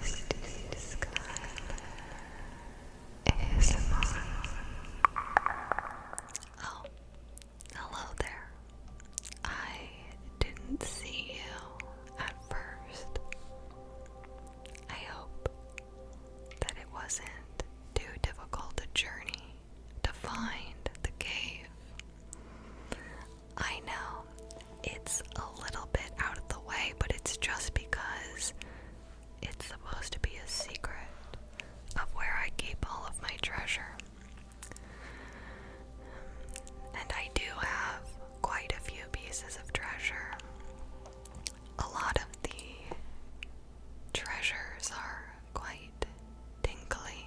Christy hello there. I didn't see you at first. I hope that it wasn't too difficult a journey to find the cave. I know it's a little bit out of the way, but it's just because it's supposed to be a secret of where I keep all of my treasure. And I do have quite a few pieces of treasure. A lot of the treasures are quite tingly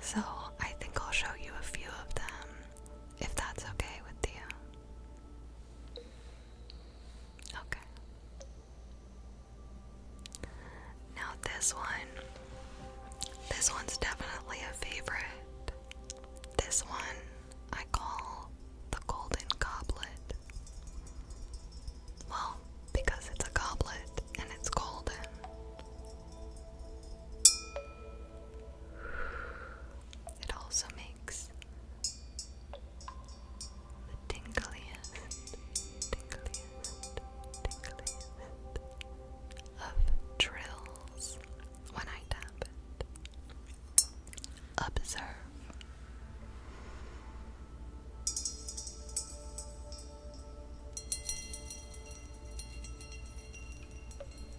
so I think I'll show you a few of them if that's okay with you. Okay. Now this one. This one's definitely a favorite. This one I call the golden goblet. Well, because it's a goblet and it's golden. It also makes the tingliest, tingliest, tingliest of trills when I tap it. Observe.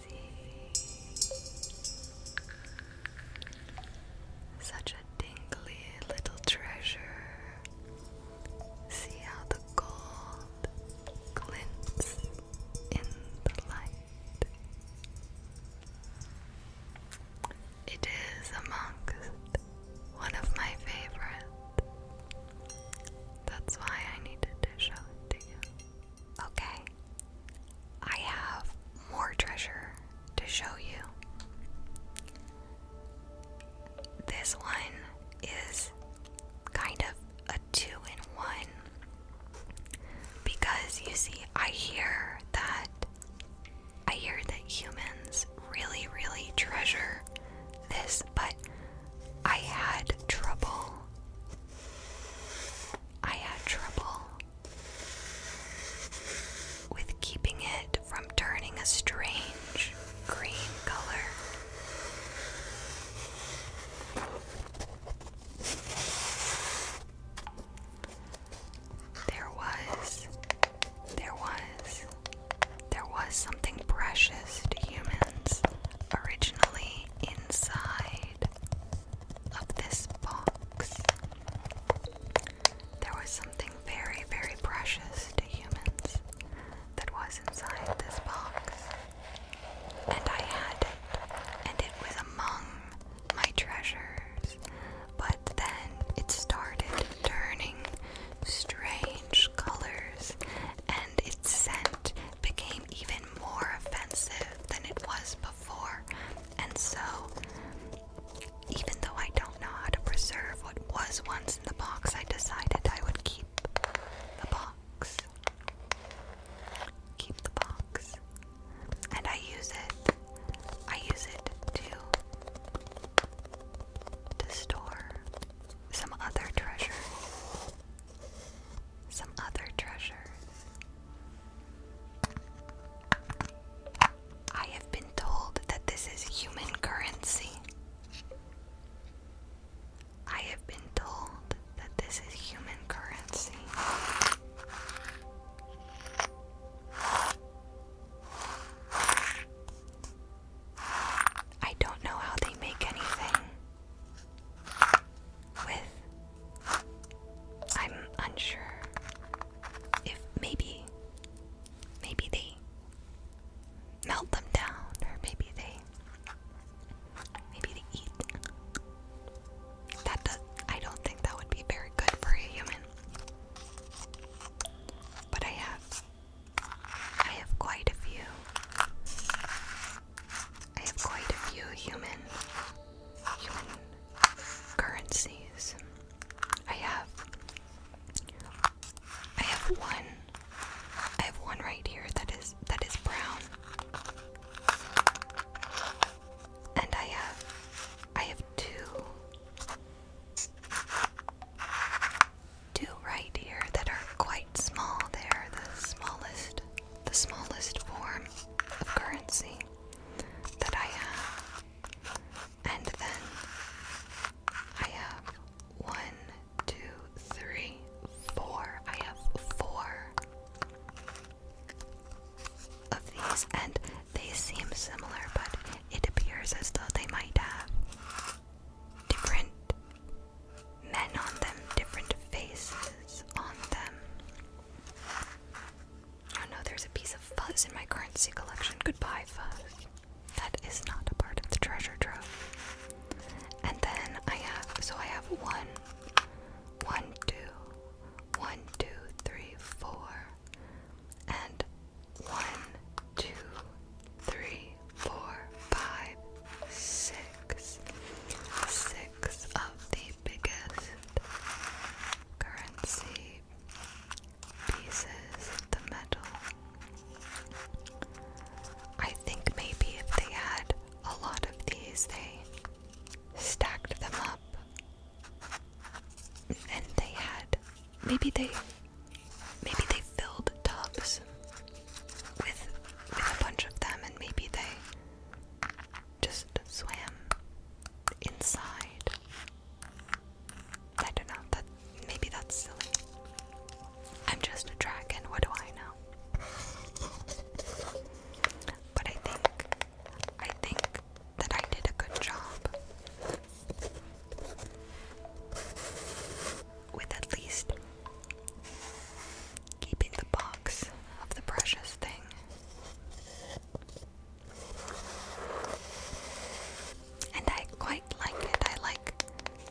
see. Such a dingly little treasure. See how the gold glints in the light. It is amongst one of my favorites. That's why I needed to show it to you. Okay, I have more treasure to show you. This one is kind of a two in one because you see, I hear that I hear that humans really, really treasure this, but I had trouble I had trouble with keeping it from turning a strange green color. There was, there was, there was something precious to humans originally inside of this box. There was something very, very precious to humans that was inside this box. And I had it, and it was among my treasures. But then it started turning strange colors, and and its scent became even more offensive than it was before. And so, even though I don't know how to preserve what was once in the box, I decided I would keep the box. Keep the box. And I use it. I use it to to store some other treasures some other treasures. I have been told that this is human currency. I have been told that this is human currency. I don't know how they make anything with. I'm unsure if maybe. Maybe they melt them down, or maybe they. Maybe they eat. That does, I don't think that would be very good for a human. But I have, I have quite a few I have quite a few human human currencies. I have I have one I have one right here that is that is brown. And I have I have two two right here that are quite small. They're the smallest the smallest form of currency that I have. And then I have one, two, three, four. I have four of these, and they seem similar, but it appears as though they might have different men on them, different faces on them. Oh no, there's a piece of fuzz in my currency collection. Goodbye, fuzz. That is not a part of the treasure trove. And then I have, so I have one, one, two, one, two, three, four, and one, two, three, four, five, six, six of the biggest currency pieces, the metal. I think maybe if they had a lot of these, they stacked them up and they had maybe they maybe they filled tubs with with a bunch of them and maybe they just swam inside. I don't know, maybe that's silly. I'm just a dragon, what do I know? But I think I think that I did a good job with at least keeping the box of the precious thing. And I quite like it. I like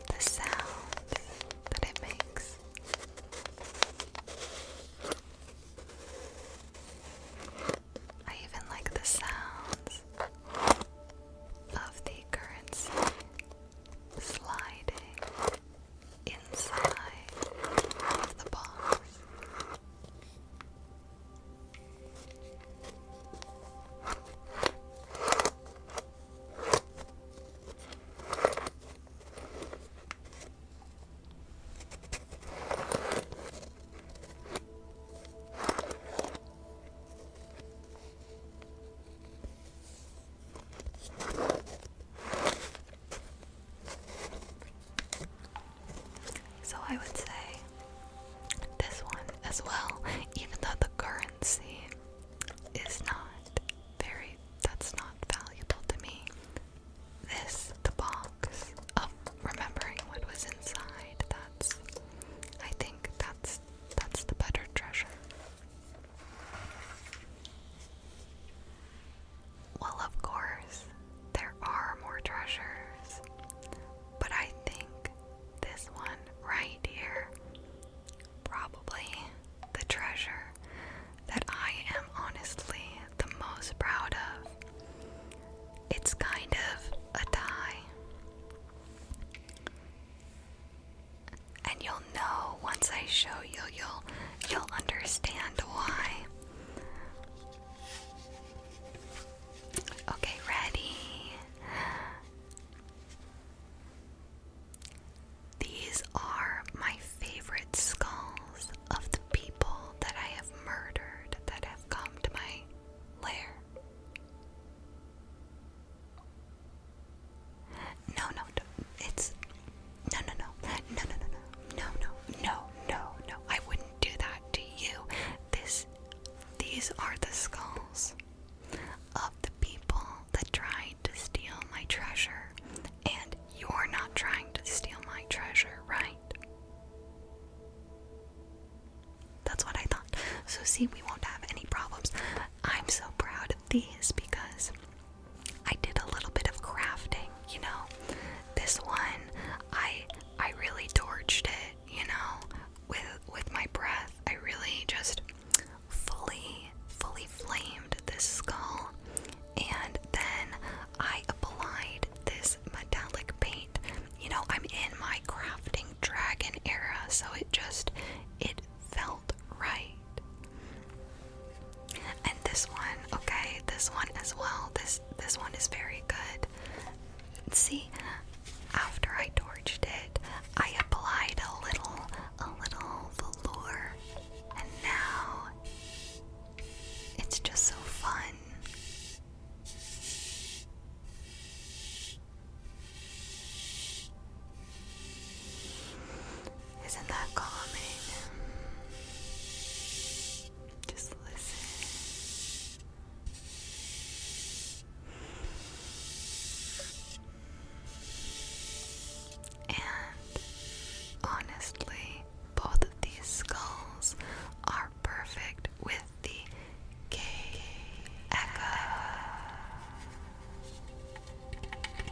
the sound that it makes. I even like the sounds of the currency sliding inside of the box. So I would say this one as well, even though the currency is not very, that's not valuable to me. This, the box of remembering what was inside, that's, I think that's, that's the better treasure. Well, of course, there are more treasures, but I think this one right here, probably the treasure that I am honestly the most proud of. It's kind of a tie. And you'll know once I show you, you'll you'll understand why. Okay, ready. These are my favorite skulls of the people that I have murdered that have come to my lair. No, no, it's no, no, no. No, no, no, no. No, no, no, no, no. I wouldn't do that to you. This these are the skulls of the people that tried to steal my treasure. And you're not trying to steal my treasure, right? That's what I thought. So, see, we won't have any problems. I'm so proud of these because I did a little bit of crafting, you know. This one, I I really torched it, you know, with with my breath. I really just fully fully flamed this skull and then I applied this metallic paint. You know, I'm in my crafting dragon era, so it just it felt right, and this one, okay, this one as well. This this one is very good. See, after I torched it, I applied a little a little velour, and now it's just so fun. Isn't that calming? Just listen. And honestly, both of these skulls are perfect with the K echo.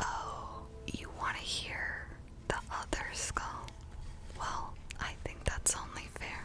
Oh, you want to hear the other skull? Well, I think that's only fair.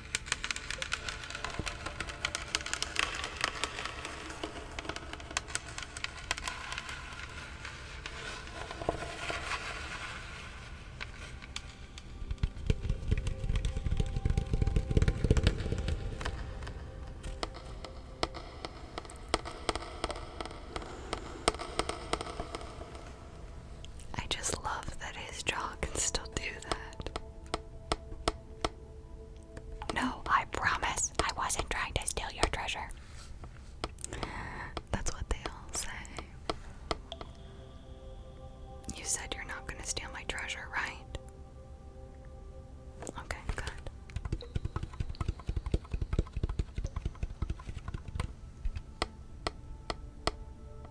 I just love that his jaw can still do that. No, I promise I wasn't trying to steal your treasure. That's what they all say. You said you're not going to steal my treasure, right? Okay, good.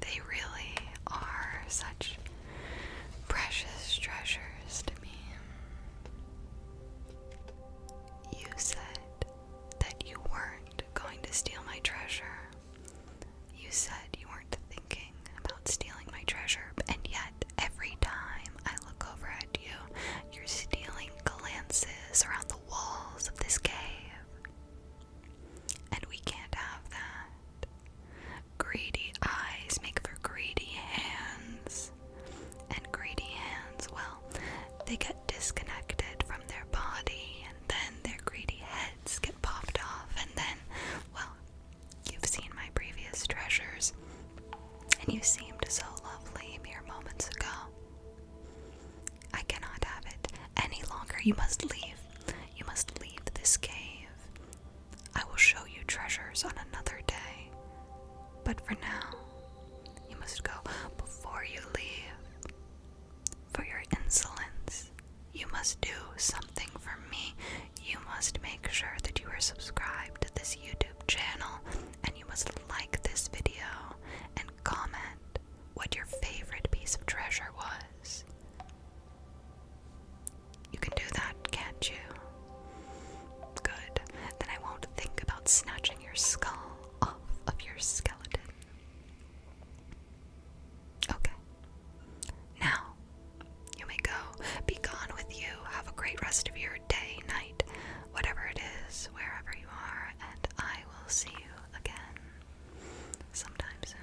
They really are such precious treasures to me. You said that you weren't going to steal my treasure. You said you weren't thinking about stealing my treasure, and yet every time I look over at you, you're stealing glances around the walls of this cave. And we can't have that. Greedy eyes make for greedy hands. And greedy hands, well, they get disconnected from their body, and then their greedy heads get popped off, and then, well, you've seen my previous treasures, and you seemed so lovely mere moments ago. I cannot have it any longer. You must leave. You must leave this cave. I will show you treasures on another day. But for now, you must go before you leave. For your insolence, you must do something for me. You must make sure that you are subscribed to this YouTube channel and you must like this video and comment what your favorite piece of treasure was. You can do that, can't you? Good. Then I won't think about snatching your skull off of your skeleton. Okay. Now, you may go. Be gone with you. Have a great rest of your day, night, whatever it is, wherever you are, and I will see you again sometime soon.